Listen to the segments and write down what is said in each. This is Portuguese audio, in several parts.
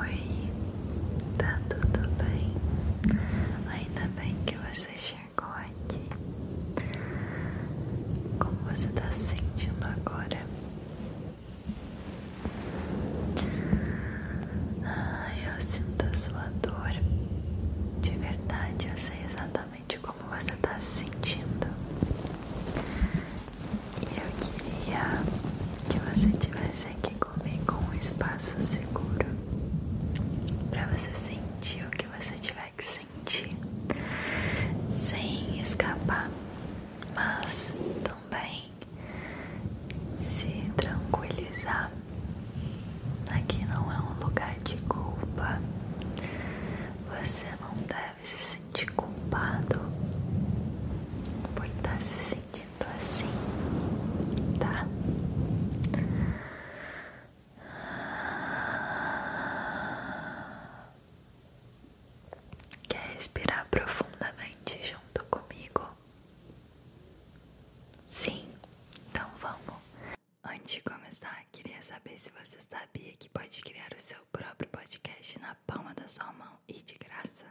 Oi, tá tudo bem? Ainda bem que você chegou aqui. Como você tá se sentindo agora? Ah, eu sinto a sua dor. De verdade, eu sei exatamente como você tá se sentindo. E eu queria que você tivesse aqui comigo um espaço seguro para você sentir o que você tiver que sentir, sem escapar, mas também se tranquilizar. Aqui não é um lugar de culpa. Você não deve se sentir culpado por estar tá se sentindo assim, tá? Quer respirar profundamente junto comigo? Sim, então vamos. Antes de começar, queria saber se você sabia que pode criar o seu proprio podcast na palma da sua mão e de graça.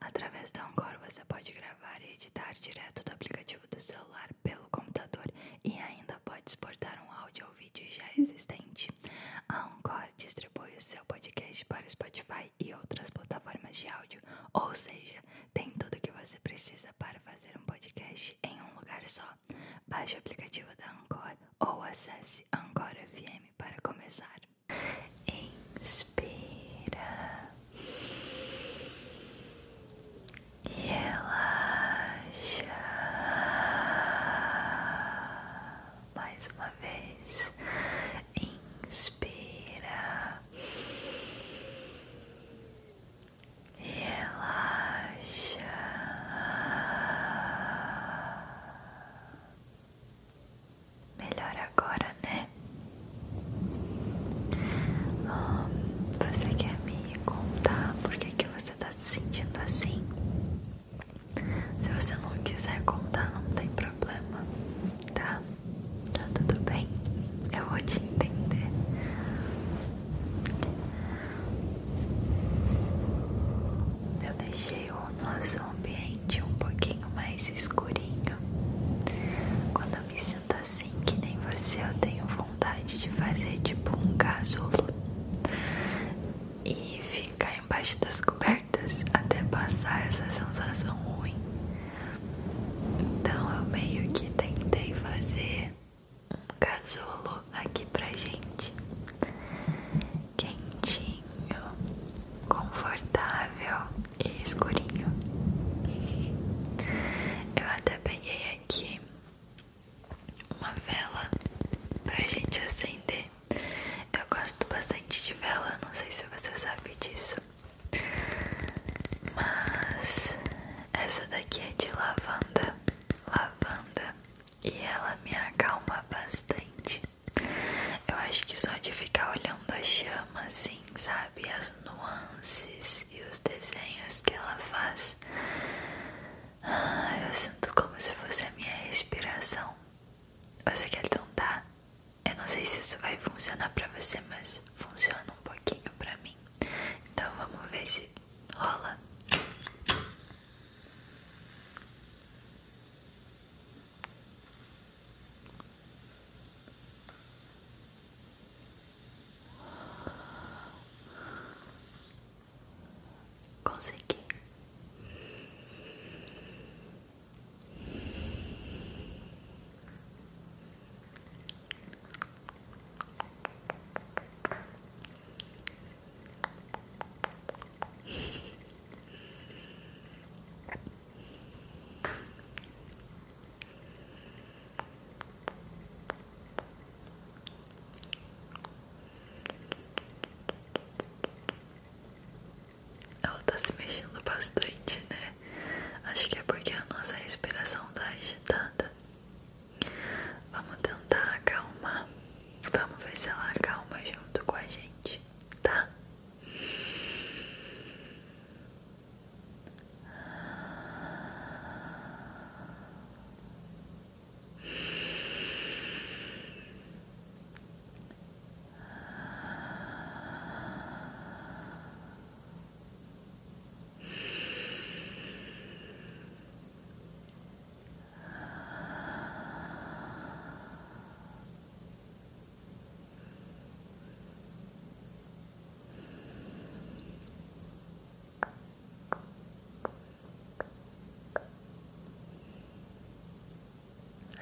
Através da Anchor você pode gravar e editar direto do aplicativo do celular pelo computador e ainda pode exportar um áudio ou vídeo já existente. A Anchor distribui o seu podcast para o Spotify e outras plataformas de áudio, ou seja, tem tudo o que você precisa para fazer um podcast em um lugar só. Baixe o aplicativo da Anchor ou acesse Anchor FM para começar. Inspira e relaxa mais uma vez. Inspira e relaxa. Melhor agora, né? você quer me contar por que, que você tá se sentindo assim? Se você não quiser contar, não tem problema, tá? Tá tudo bem, eu vou te entender. Eu deixei o nosso ambiente um pouquinho mais escurinho. Quando eu me sinto assim, que nem você, eu tenho vontade de fazer tipo um casulo e ficar embaixo das cobertas até passar essa sensação ruim. Então eu meio que tentei fazer um casulo aqui pra gente, quentinho, confortável e escurinho. Eu até peguei aqui uma vela pra gente acender. Eu gosto bastante de vela, não sei se você sabe disso. Mas essa daqui é de lavanda, lavanda e ela me acalma bastante. Eu acho que só de ficar olhando a chama, assim, sabe? As nuances e os desenhos que ela faz. Ah, eu sinto como se fosse a minha respiração. Você quer tentar? Eu não sei se isso vai funcionar pra você, mas funciona um pouquinho pra mim. Então vamos ver se rola. Consegui. Ela tá se mexendo bastante, né? Acho que é porque a nossa respiração tá agitada. Vamos tentar acalmar. Vamos ver se ela acalma junto com a gente, tá?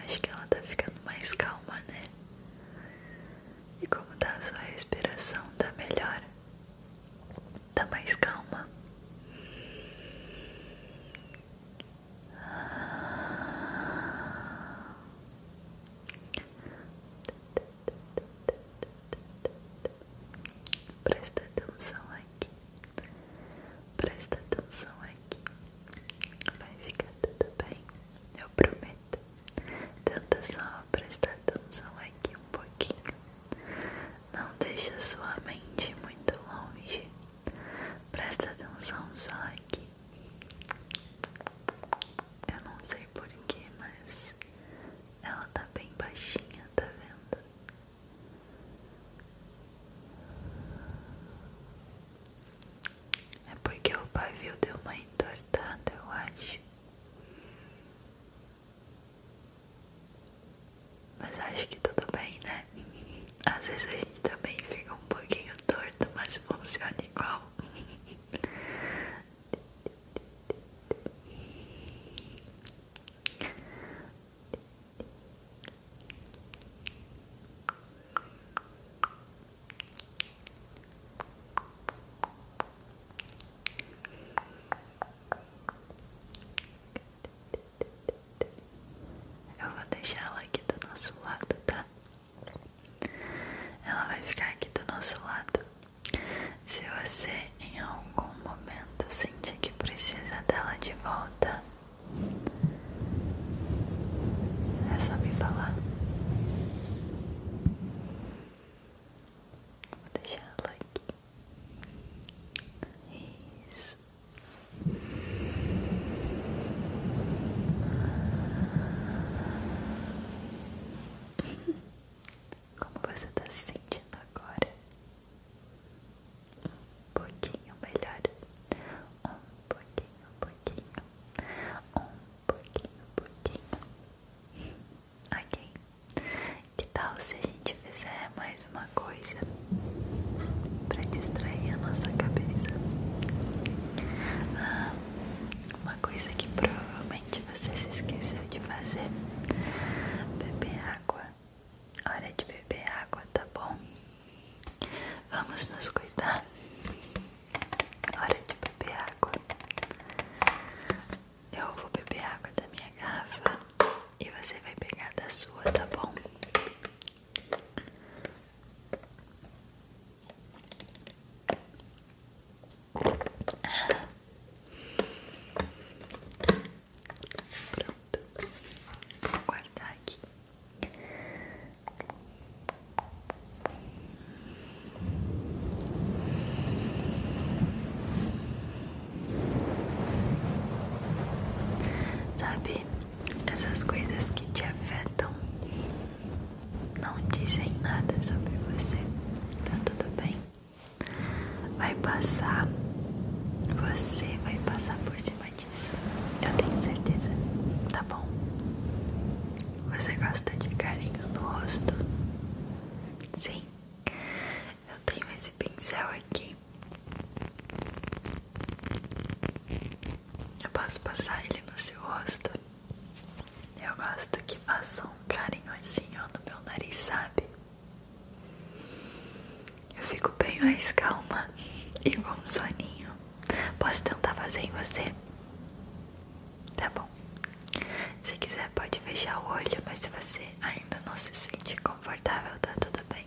Acho que ela está ficando mais calma, né? E como está a sua respiração, está melhor? tá mais calma. Presta atenção aqui, presta atenção aqui, vai ficar tudo bem, eu prometo. Tenta só presta atenção aqui um pouquinho. Não deixa sua mente muito longe. Presta atenção só aqui. Eu não sei porquê, mas ela tá bem baixinha, tá vendo? É porque o pavio deu uma entortada, eu acho. Mas acho que tudo bem, né? Às vezes a gente também fica um pouquinho torto, mas funciona igual. Eu vou deixar ela aqui do nosso lado, tá? Ela vai ficar aqui do nosso lado. Se você em algum momento sentir que precisa dela de volta, é só me falar. Vou deixar ela aqui. Isso. Como você está se sentindo agora? Um pouquinho melhor. Um pouquinho, um pouquinho. Um pouquinho, um pouquinho. Ok. Que tal se a gente fizer mais uma coisa para distrair a nossa cabeça? Ah, uma coisa que provavelmente você se esqueceu de fazer: beber água. Hora de beber água, tá bom? Vamos nos cuidar. Hora de beber água. Eu vou beber água da minha garrafa e você vai pegar da sua, tá bom? Pronto, vou guardar aqui. Sabe, essas coisas que te afetam não dizem nada sobre você, tá tudo bem? Vai passar, você vai passar por cima disso, eu tenho certeza, tá bom? Você gosta de carinho no rosto? Sim, eu tenho esse pincel aqui. Eu posso passar ele no seu rosto. Eu gosto que faça um carinho assim ó, no meu nariz, sabe? Eu fico bem mais calma e com um soninho. Posso tentar fazer em você? Tá bom. Se quiser, pode fechar o olho, mas se você ainda não se sente confortável, tá tudo bem.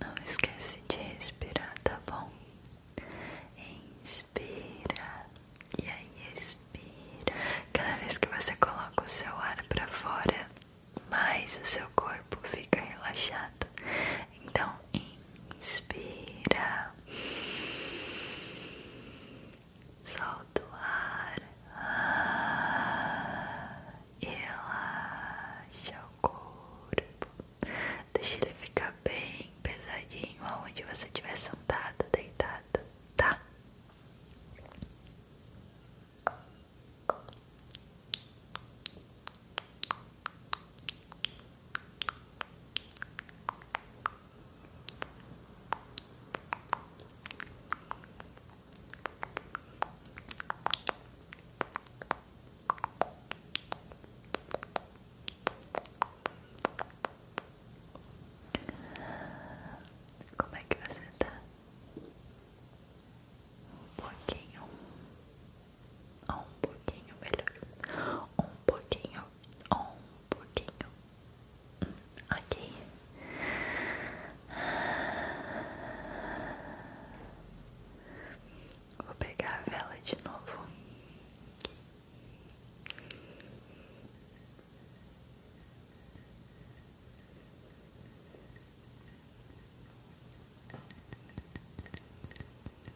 Não esquece de respirar, tá bom? Inspira e aí expira. Cada vez que você coloca o seu ar para fora, mais o seu corpo fica relaxado. Então, inspira solta o ar e ah, relaxa o corpo. Deixa ele ficar bem pesadinho aonde você estiver sentado, deitado, tá? Como é que você tá? Um pouquinho, um pouquinho melhor, um pouquinho, um pouquinho Ok. Vou pegar a vela de novo.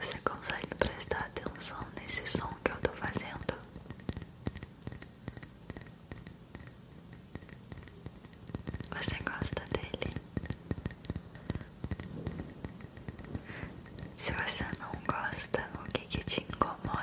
Você consegue prestar atenção nesse som que eu estou fazendo? Você gosta dele? Se você não gosta, o que, que te incomoda?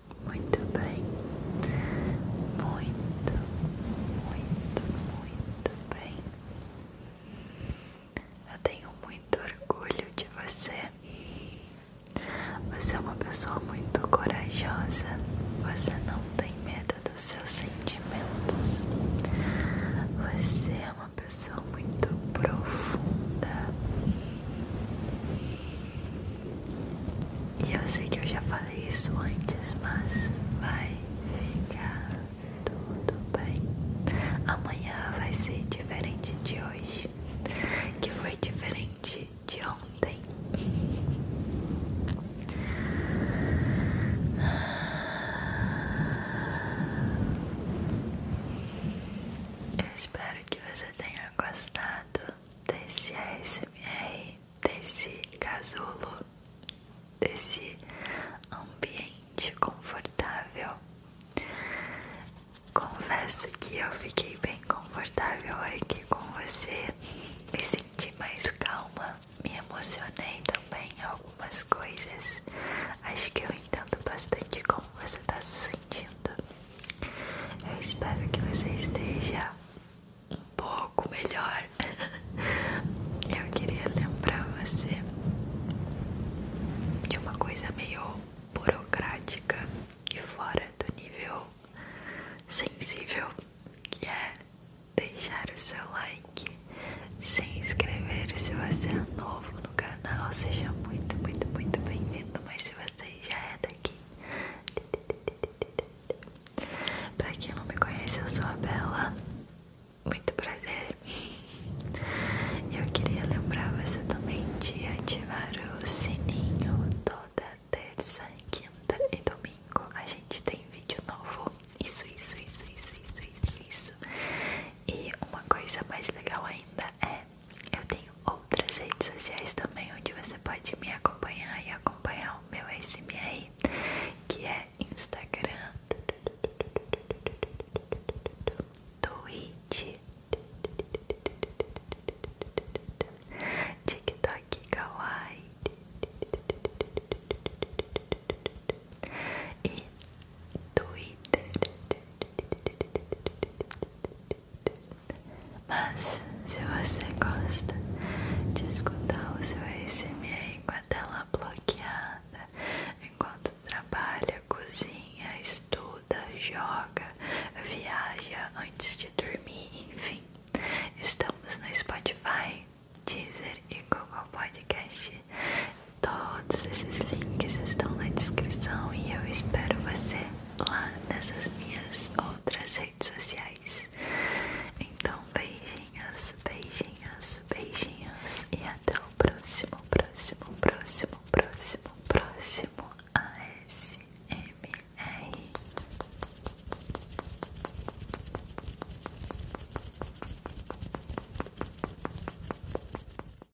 Muito bem. Muito, muito, muito bem. Eu tenho muito orgulho de você. Você é uma pessoa muito corajosa. Você não tem medo dos seus sentimentos. Você é uma pessoa muito profunda. E eu sei que eu já falei isso antes, mas vai ficar tudo bem. Amanhã vai ser diferente de hoje, que foi diferente de ontem. Eu espero que você tenha gostado desse ASMR, desse casulo, desse ambiente confortável. Confesso que eu fiquei bem confortável aqui com você, me senti mais calma, me emocionei também em algumas coisas. Acho que eu entendo bastante como você está se sentindo. Eu espero que você esteja um pouco melhor. Eu queria lembrar você de uma coisa meio burocrática e fora do nível sensível, que é deixar o seu like, se inscrever se você é novo no canal, seja muito, muito, muito bem-vindo, mas se você você já é daqui. Pra quem não me conhece, eu sou a Bela. Muito prazer. Eu queria lembrar você também de ativar o sininho toda terça, quinta e domingo. A gente tem vídeo novo. isso, isso, isso, isso, isso, isso. E uma coisa mais legal ainda é eu tenho outras redes sociais também onde você pode me acompanhar e acompanhar o meu SMR, que é Instagram, Twitch, TikTok, Kawaii e Twitter. Mas se você gosta de escutar o seu ASMR com a tela bloqueada enquanto trabalha, cozinha, estuda, joga, viaja antes de dormir, enfim, estamos no Spotify, Deezer e Google Podcast. todo Todos esses links estão na descrição e eu espero você lá nessas minhas outras redes sociais. Então, beijinhos, beijinhos, beijinhos e até o próximo, próximo, próximo, próximo, próximo ASMR.